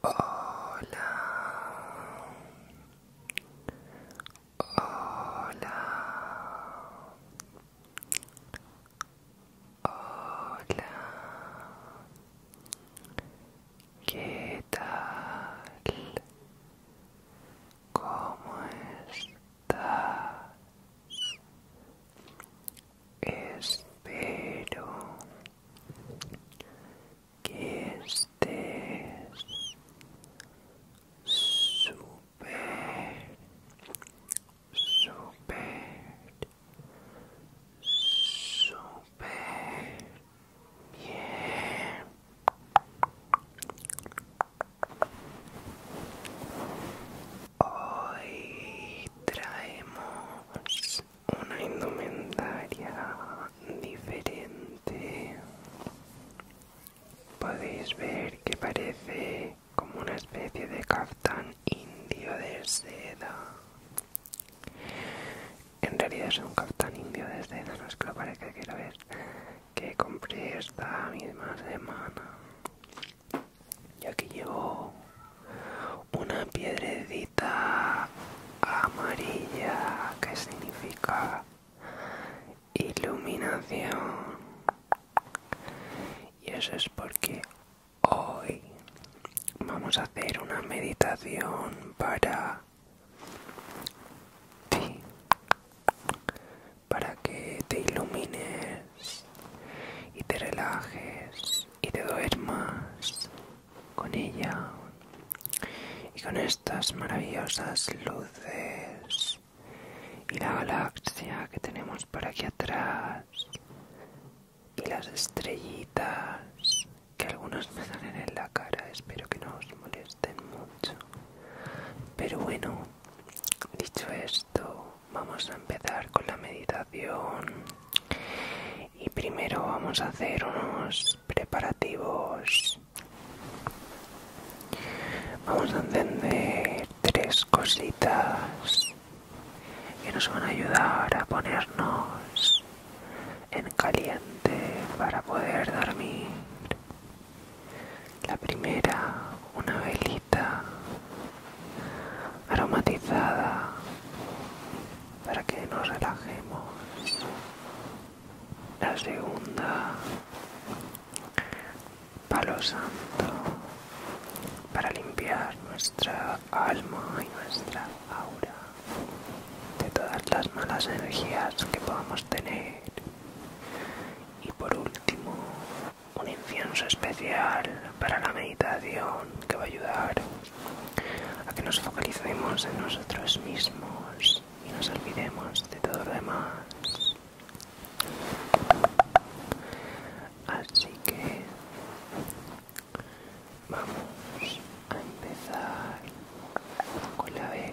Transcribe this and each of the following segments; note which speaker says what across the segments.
Speaker 1: Hola. Hola. Hola. ¿Qué tal? ¿Cómo estás? Espero que estés super super super bien. Hoy traemos una indumentaria diferente. Podéis ver que parece como una especie de captán indio de seda. En realidad es un captán indio de seda, no es que lo parezca que ver que compré esta misma semana. Ya que llevo una piedrecita amarilla que significa iluminación y eso es porque hoy vamos a hacer una meditación para ti para que te ilumines y te relajes y te duermas con ella y con estas maravillosas luces y la galaxia que tenemos por aquí atrás y las estrellitas que algunos me salen en la cara espero que no os molesten mucho pero bueno dicho esto vamos a empezar con la meditación y primero vamos a hacer unos preparativos vamos a encender tres cositas que nos van a ayudar a ponernos en caliente para poder dormir la primera una velita aromatizada para que nos relajemos. La segunda, palo santo, para limpiar nuestra alma y nuestra aura de todas las malas energías que podamos tener. Y por último, un incienso especial para la meditación que va a ayudar a que nos focalicemos en nosotros mismos y nos olvidemos de todo lo demás. Así que vamos a empezar con la vela.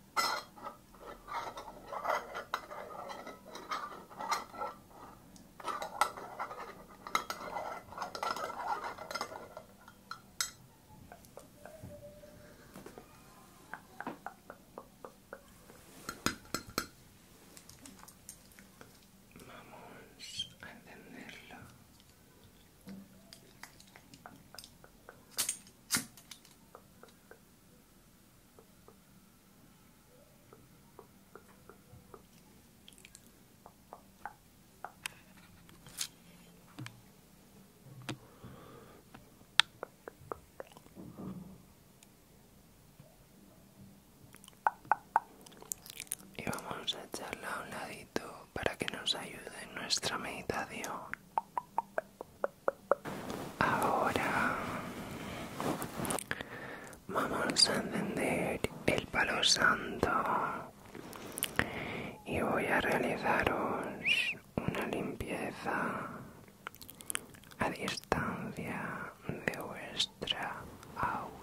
Speaker 1: Vamos a encenderlo y vamos a echarla a un ladito para que nos ayude en nuestra meditación. Ahora vamos a encender el palo santo y voy a realizaros una limpieza a distancia de vuestra aura.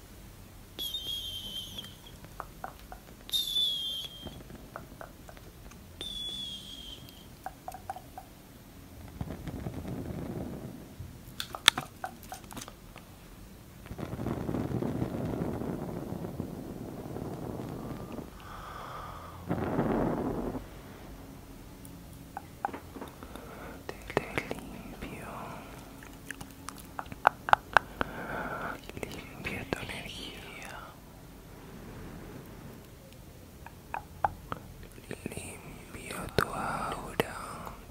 Speaker 1: Te, limpio limpia tu energía limpio tu aura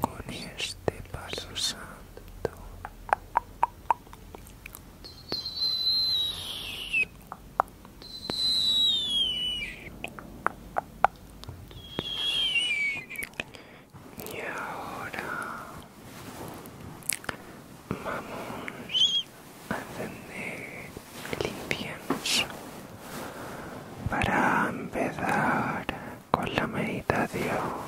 Speaker 1: con este paso santo y ahora vamos a tener el para empezar con la meditación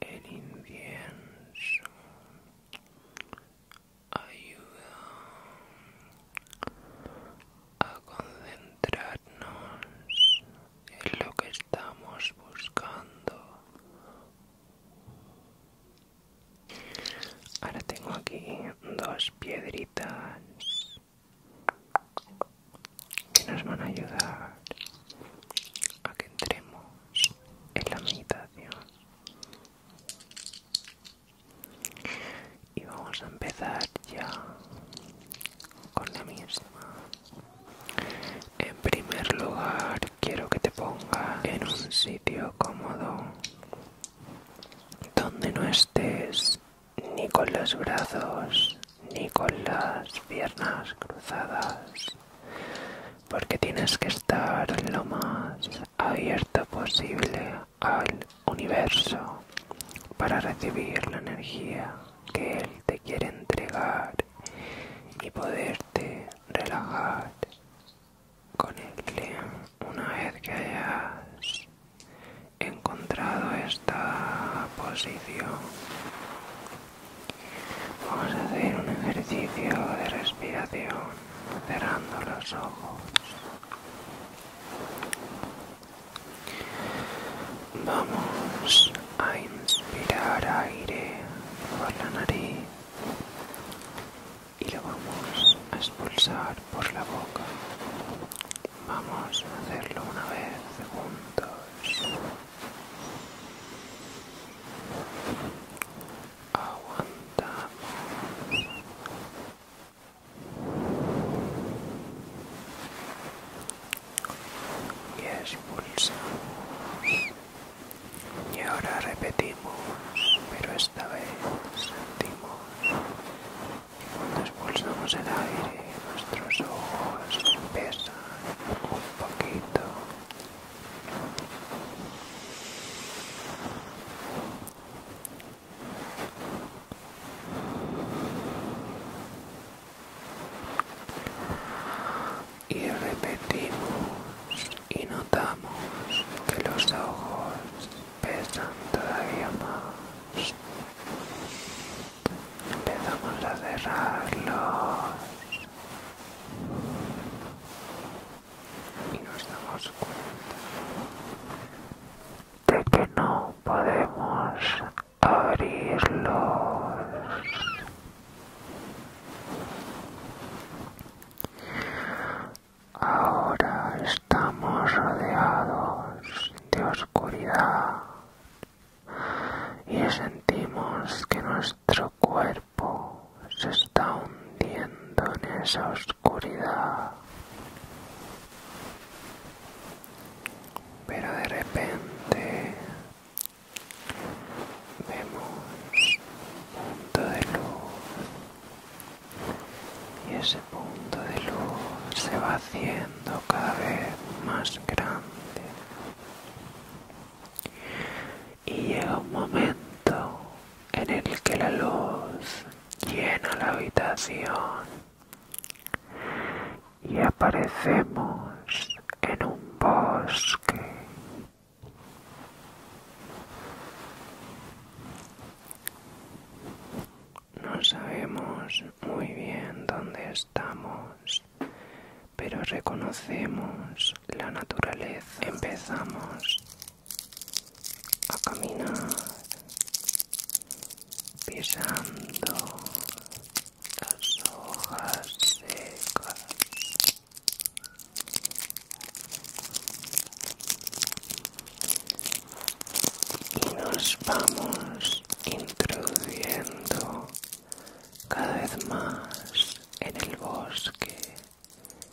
Speaker 1: El incienso ayuda a concentrarnos en lo que estamos buscando. Ahora tengo aquí dos piedritas que nos van a ayudar a que entremos en la meditación y vamos a empezar ya con la misma en primer lugar quiero que te pongas en un sitio cómodo donde no estés ni con los brazos ni con las piernas cruzadas, porque tienes que estar lo más abierto posible al universo para recibir la energía que Él te quiere entregar y poderte relajar con Él una vez que hayas encontrado esta posición vamos a hacer un ejercicio de respiración cerrando los ojos vamos a inspirar aire por la nariz y lo vamos a expulsar por la boca Vamos a hacerlo una vez juntos. Aguantamos. Y expulsamos. Y ahora repetimos, pero esta vez sentimos expulsamos el aire, nuestros ojos pesan un poquito. Y repetimos y notamos que los ojos pesan todavía más empezamos a cerrarlos y nos damos cuenta de que no podemos abrirlos Ahora estamos rodeados de oscuridad y sentimos que nuestro cuerpo se está hundiendo en esa oscuridad. Pero de repente vemos un punto de luz y ese punto de luz se va haciendo cada vez más grande y llega un momento en el que la luz llena la habitación y aparecemos en un bosque no sabemos muy bien dónde estamos, pero reconocemos la naturaleza. Empezamos a caminar pisando las hojas secas y nos vamos introduciendo cada vez más en el bosque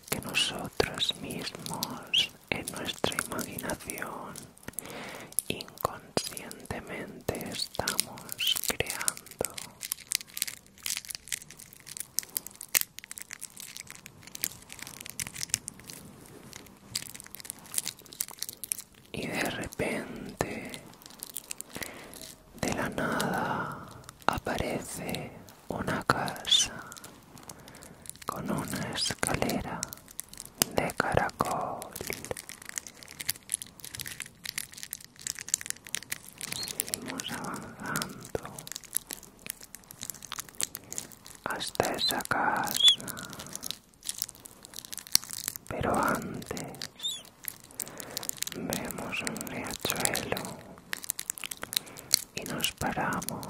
Speaker 1: que nosotros mismos en nuestra imaginación inconscientemente estamos creando y de repente, de la nada, aparece una casa con una escalera de caracol. avanzando hasta esa casa. Pero antes vemos un riachuelo y nos paramos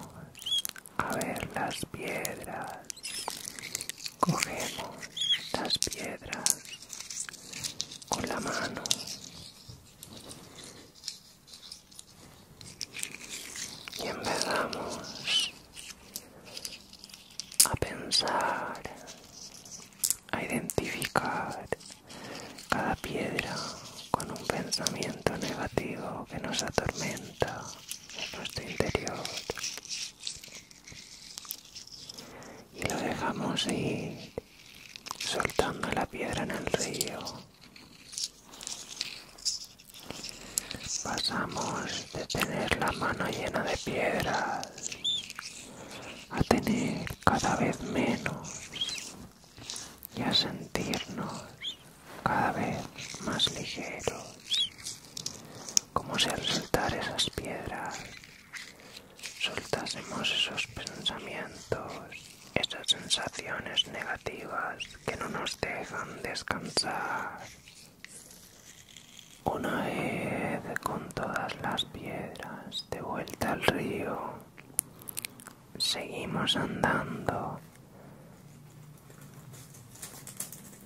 Speaker 1: a ver las piedras. Cogemos las piedras con la mano y empezamos a pensar, a identificar cada piedra con un pensamiento negativo que nos atormenta en nuestro interior y lo dejamos ir soltando la piedra en el río Pasamos de tener la mano llena de piedras a tener cada vez menos y a sentirnos cada vez más ligeros, como si al soltar esas piedras soltásemos esos pensamientos esas sensaciones negativas que no nos dejan descansar. Una vez con todas las piedras de vuelta al río, seguimos andando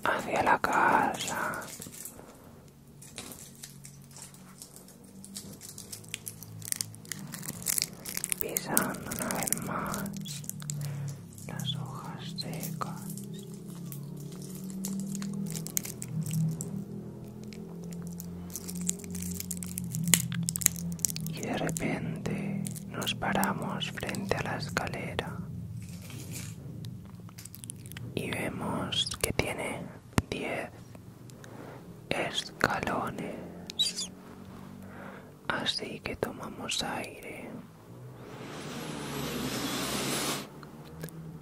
Speaker 1: hacia la casa pisando una vez más las hojas secas y de repente nos paramos frente a la escalera y vemos que tiene diez escalones así que tomamos aire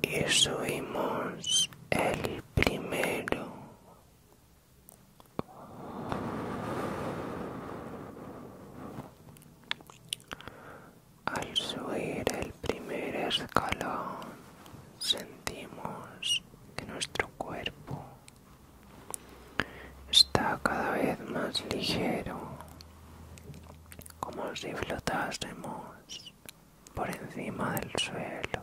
Speaker 1: y subimos el primero al subir el primer escalón sentimos que nuestro cuerpo Está cada vez más ligero, como si flotásemos por encima del suelo.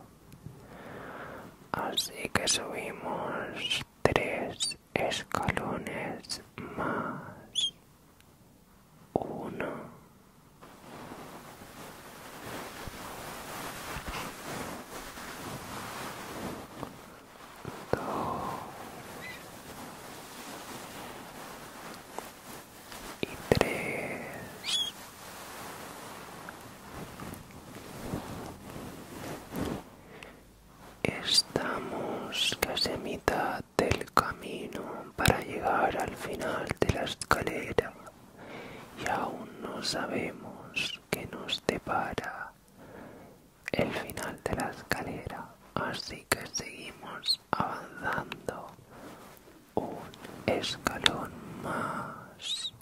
Speaker 1: Así que subimos tres escalones más. Uno y tres estamos casi a mitad del camino para llegar al final de la escalera y aún no sabemos qué nos depara el final de la escalera, así que seguimos avanzando un escalón más.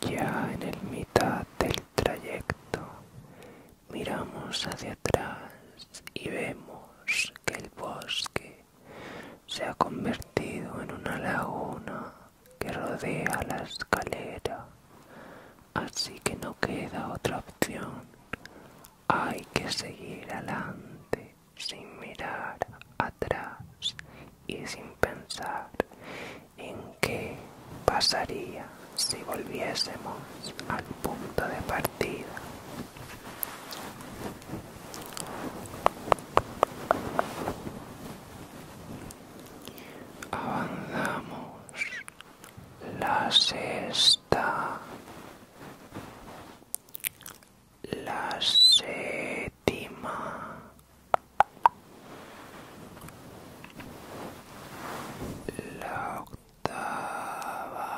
Speaker 1: Ya en el mitad del trayecto miramos hacia atrás y vemos que el bosque se ha convertido en una laguna que rodea la escalera, así que no queda otra opción. Hay que seguir adelante sin mirar atrás y sin pensar en qué pasaría si volviésemos al punto de partida avanzamos la sexta la séptima la octava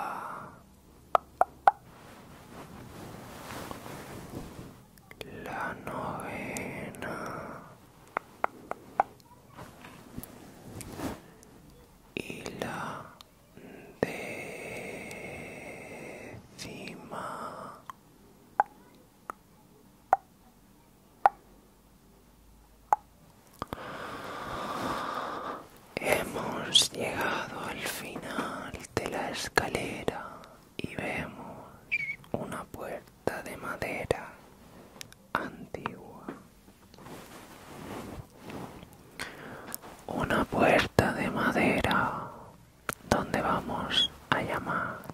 Speaker 1: la novena y la décima hemos llegado al final de la escalera y vemos una puerta de madera antigua. Una puerta de madera donde vamos a llamar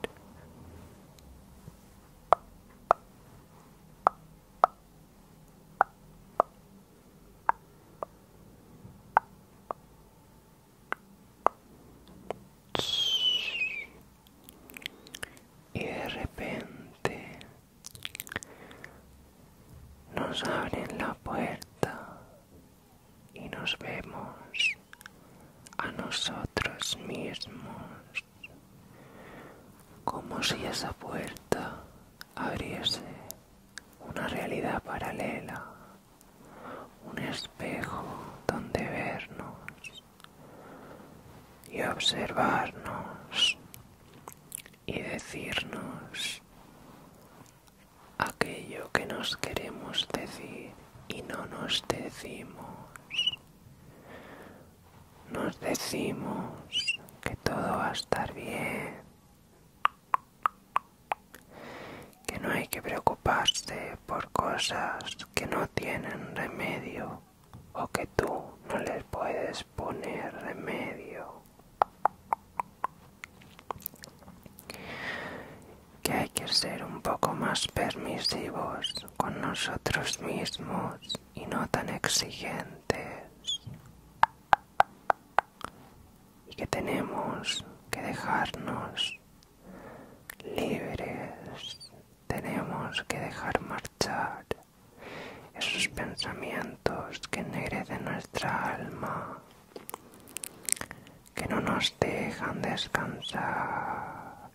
Speaker 1: y de repente nos abren la puerta y nos vemos a nosotros mismos como si esa puerta abriese una realidad paralela un espejo donde vernos y observarnos y decirnos aquello que nos queremos decir y no nos decimos. Nos decimos que todo va a estar bien, que no hay que preocuparse por cosas que no tienen remedio o que tú no les puedes poner remedio, que hay que ser un poco más permisivos con nosotros mismos y no tan exigentes y que tenemos que dejarnos libres, tenemos que dejar marchar esos pensamientos que ennegrecen nuestra alma, que no nos dejan descansar.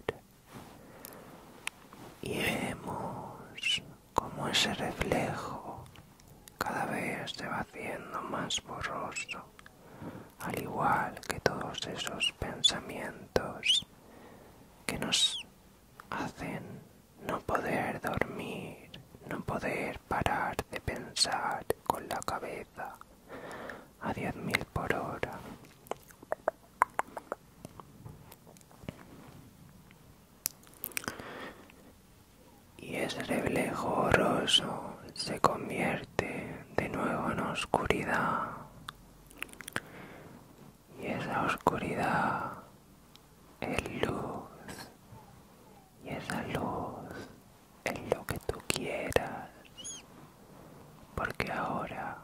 Speaker 1: Y vemos como ese reflejo cada vez se va haciendo más borroso, al igual que todos esos pensamientos que nos hacen no poder dormir, no poder parar de pensar con la cabeza a diez mil por hora y ese reflejo horroroso se convierte de nuevo en oscuridad y esa oscuridad es luz y esa luz en lo que tú quieras porque ahora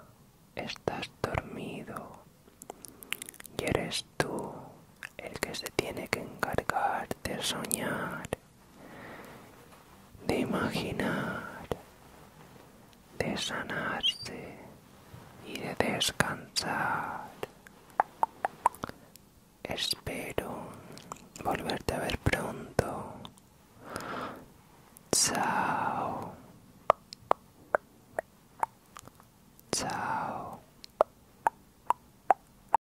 Speaker 1: estás dormido y eres tú el que se tiene que encargar de soñar de imaginar, de sanarse y de descansar. Espero volverte a ver pronto. Chao. Chao.